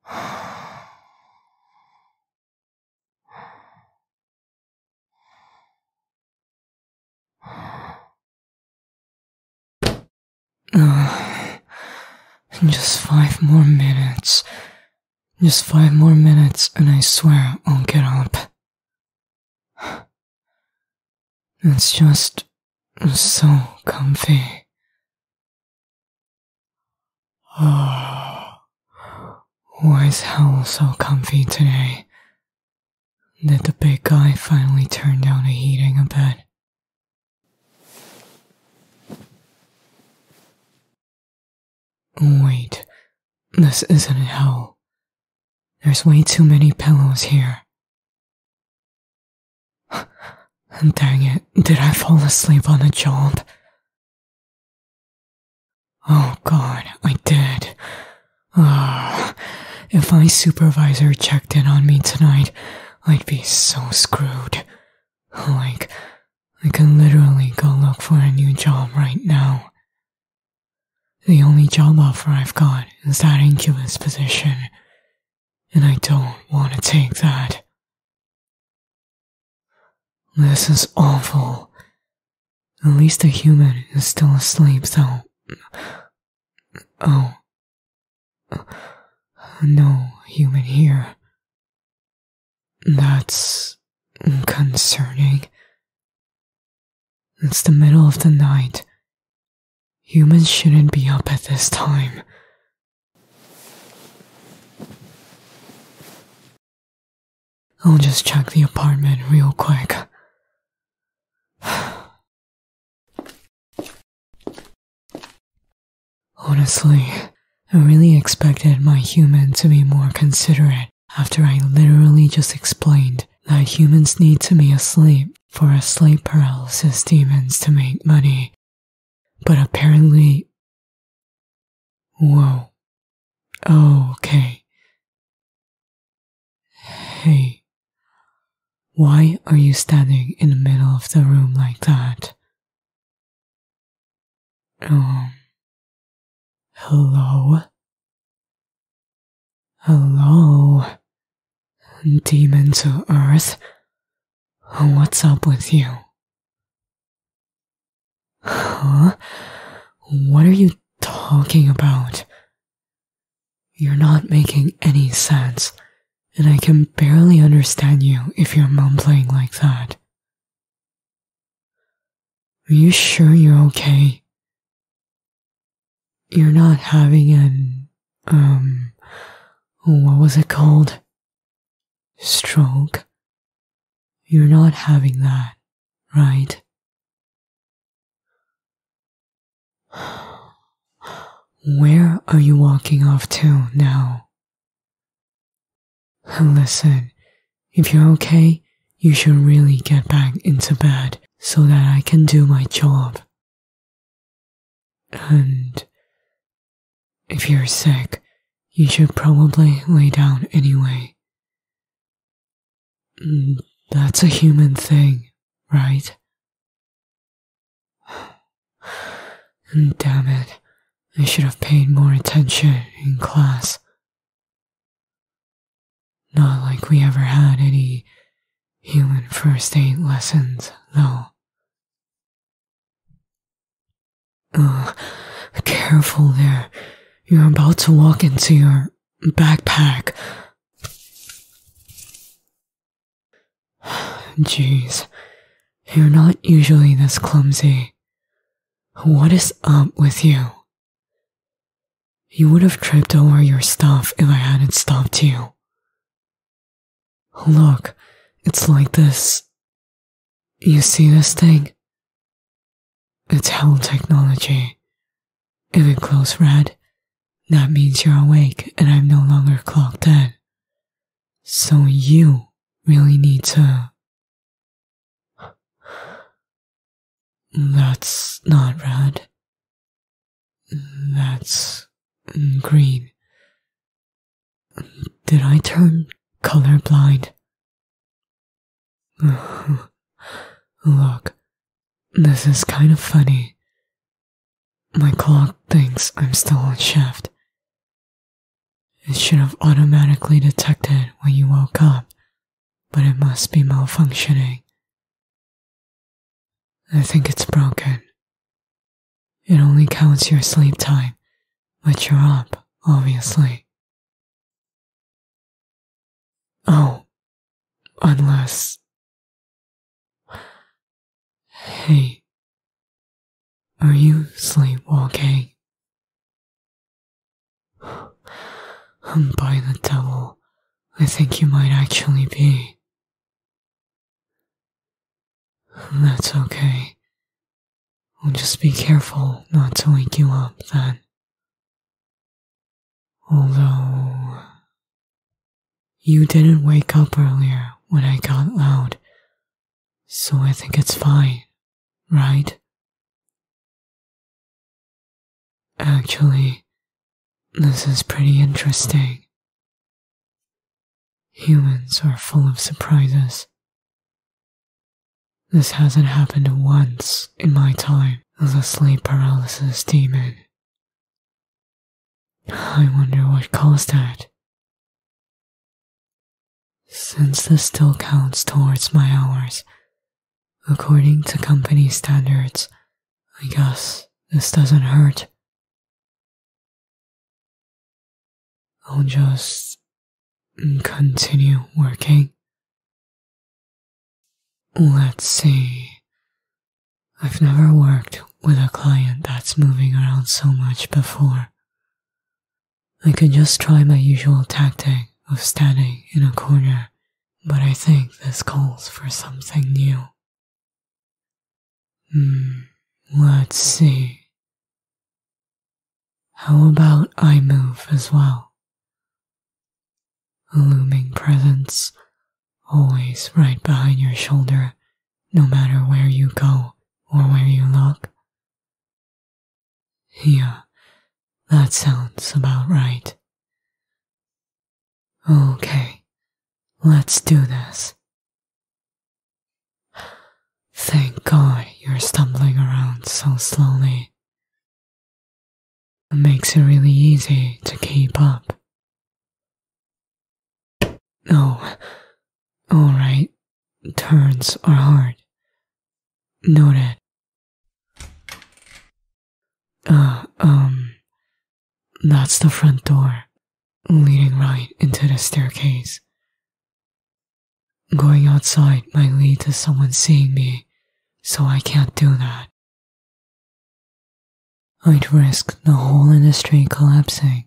Just five more minutes. Just five more minutes, and I swear I'll get up. It's just so comfy. Oh, why is hell so comfy today? Did the big guy finally turn down the heating a bit? Wait, this isn't hell. There's way too many pillows here. And Dang it, did I fall asleep on the job? Oh god, I did. Uh, if my supervisor checked in on me tonight, I'd be so screwed. Like, I can literally go look for a new job right now. The only job offer I've got is that incubus position, and I don't want to take that. This is awful. At least the human is still asleep, so. Oh. No human here. That's concerning. It's the middle of the night. Humans shouldn't be up at this time. I'll just check the apartment real quick. Honestly, I really expected my human to be more considerate after I literally just explained that humans need to be asleep for a sleep paralysis demons to make money. But apparently. Whoa. Oh, okay. Hey. Why are you standing in the middle of the room like that? Um. Hello? Hello? Demon to Earth? What's up with you? Huh? What are you talking about? You're not making any sense, and I can barely understand you if you're mumbling like that. Are you sure you're okay? You're not having an, um, what was it called? Stroke. You're not having that, right? Where are you walking off to now? Listen, if you're okay, you should really get back into bed so that I can do my job. And if you're sick, you should probably lay down anyway. Mm, that's a human thing, right? Damn it, I should have paid more attention in class. Not like we ever had any human first aid lessons, though. Uh, careful there. You're about to walk into your backpack. Jeez, you're not usually this clumsy. What is up with you? You would have tripped over your stuff if I hadn't stopped you. Look, it's like this. You see this thing? It's hell technology. If it glows red, that means you're awake and I'm no longer clocked in. So you really need to that's not red. That's green. Did I turn colorblind? Look, this is kind of funny. My clock thinks I'm still on shift, it should have automatically detected when you woke up, but it must be malfunctioning. I think it's broken. It only counts your sleep time, but you're up, obviously. Oh, unless. Hey, are you sleepwalking? By the devil, I think you might actually be. That's okay. We'll just be careful not to wake you up then. Although, you didn't wake up earlier when I got loud, so I think it's fine, right? Actually, this is pretty interesting. Humans are full of surprises. This hasn't happened once in my time as a sleep paralysis demon. I wonder what caused that. Since this still counts towards my hours, according to company standards, I guess this doesn't hurt. I'll just continue working. Let's see. I've never worked with a client that's moving around so much before, I could just try my usual tactic of standing in a corner, but I think this calls for something new. Hmm, let's see. How about I move as well? looming presence, always right behind your shoulder, no matter where you go or where you look. Yeah, that sounds about right. Okay, let's do this. Thank God you're stumbling around so slowly. It makes it really easy to keep up. Oh, Alright. Turns are hard. Noted. Uh, um. That's the front door, leading right into the staircase. Going outside might lead to someone seeing me, so I can't do that. I'd risk the whole industry collapsing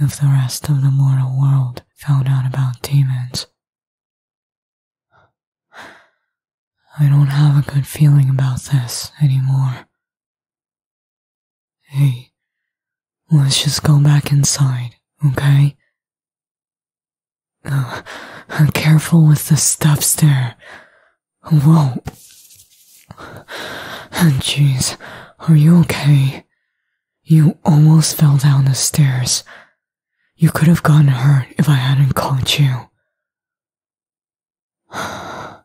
if the rest of the mortal world found out about demons. I don't have a good feeling about this anymore. Hey, let's just go back inside, okay? Uh, careful with the steps there. Whoa. Jeez, are you okay? You almost fell down the stairs. You could have gotten hurt if I hadn't caught you.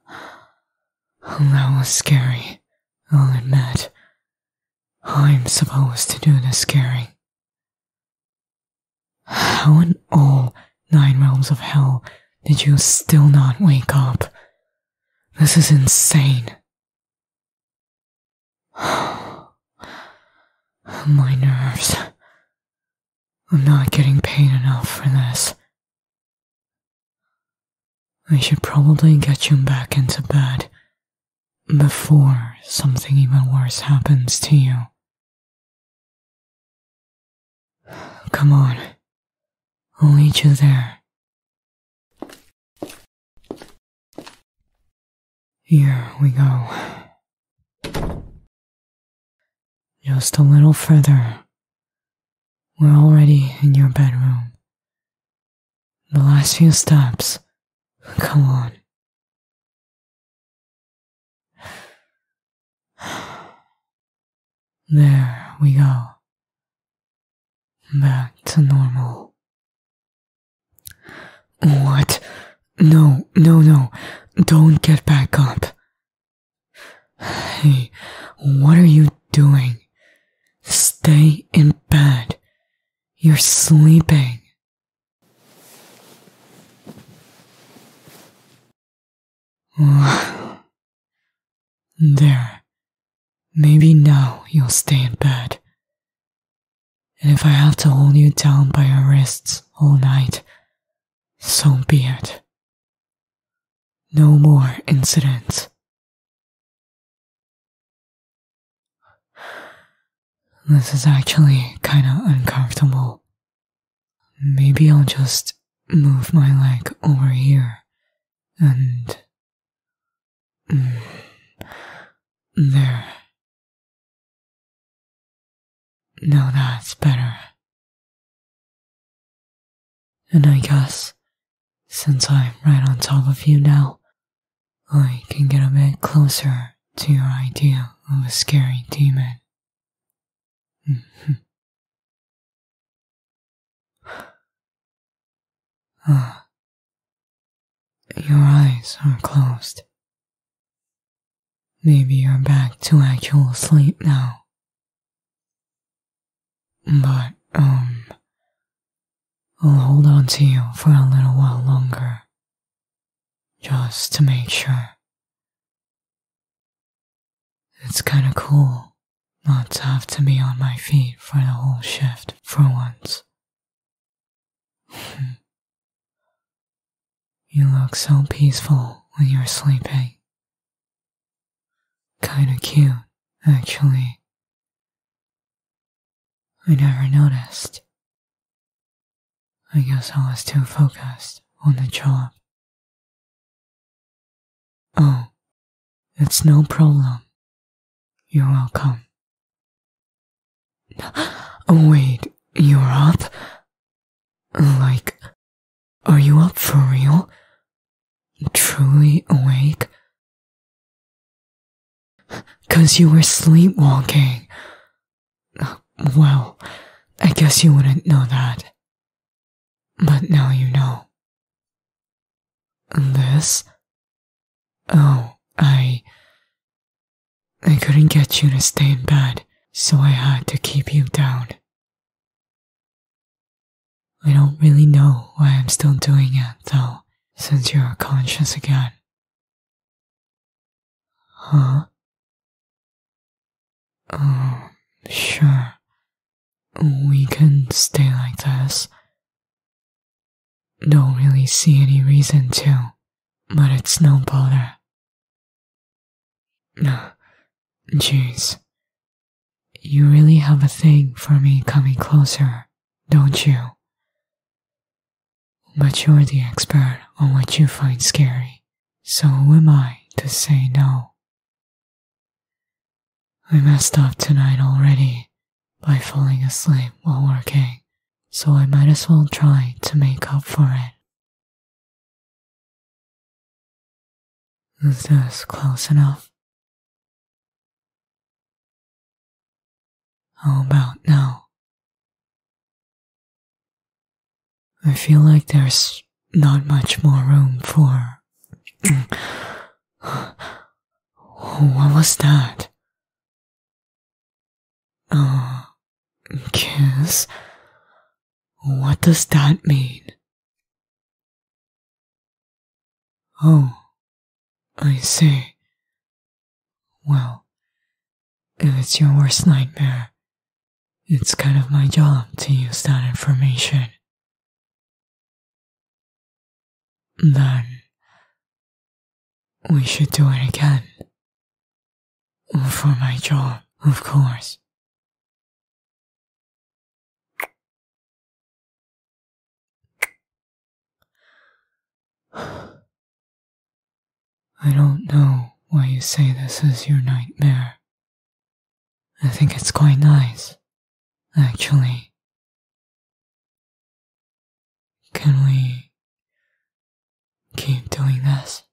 That was scary, I'll admit. I'm supposed to do the scaring. How in all nine realms of hell did you still not wake up? This is insane. My nerves. I'm not getting paid enough for this. I should probably get you back into bed before something even worse happens to you. Come on. I'll meet you there. Here we go. Just a little further. We're already in your bedroom. The last few steps. Come on. There we go. Back to normal. What? No, no, no. Don't get back up. Hey, what are you doing? Stay in bed. You're sleeping. there. Maybe now you'll stay in bed. And if I have to hold you down by your wrists all night, so be it. No more incidents. This is actually kinda uncomfortable. Maybe I'll just move my leg over here and. Mm, there. Now that's better. And I guess, since I'm right on top of you now, I can get a bit closer to your idea of a scary demon. Your eyes are closed. Maybe you're back to actual sleep now. But, um, I'll hold on to you for a little while longer. Just to make sure. It's kinda cool not to have to be on my feet for the whole shift for once. Hmm. you look so peaceful when you're sleeping. Kinda cute, actually. I never noticed. I guess I was too focused on the job Oh, it's no problem. You're welcome. Oh, wait, you're up? Like, are you up for real? Truly awake? Cause you were sleepwalking. Well, I guess you wouldn't know that. But now you know. This? Oh, I. I couldn't get you to stay in bed, so I had to keep you down. I don't really know why I'm still doing it, though, since you're conscious again. Huh? Oh, sure. We can stay like this. Don't really see any reason to, but it's no bother. No, Jeez. You really have a thing for me coming closer, don't you? But you're the expert on what you find scary, so who am I to say no? I messed up tonight already by falling asleep while working, so I might as well try to make up for it. Is this close enough? How about now? I feel like there's not much more room for. what was that? Uh, kiss? What does that mean? Oh, I see. Well, if it's your worst nightmare, it's kind of my job to use that information. Then, we should do it again. For my job, of course. I don't know why you say this is your nightmare. I think it's quite nice, actually. Can we keep doing this?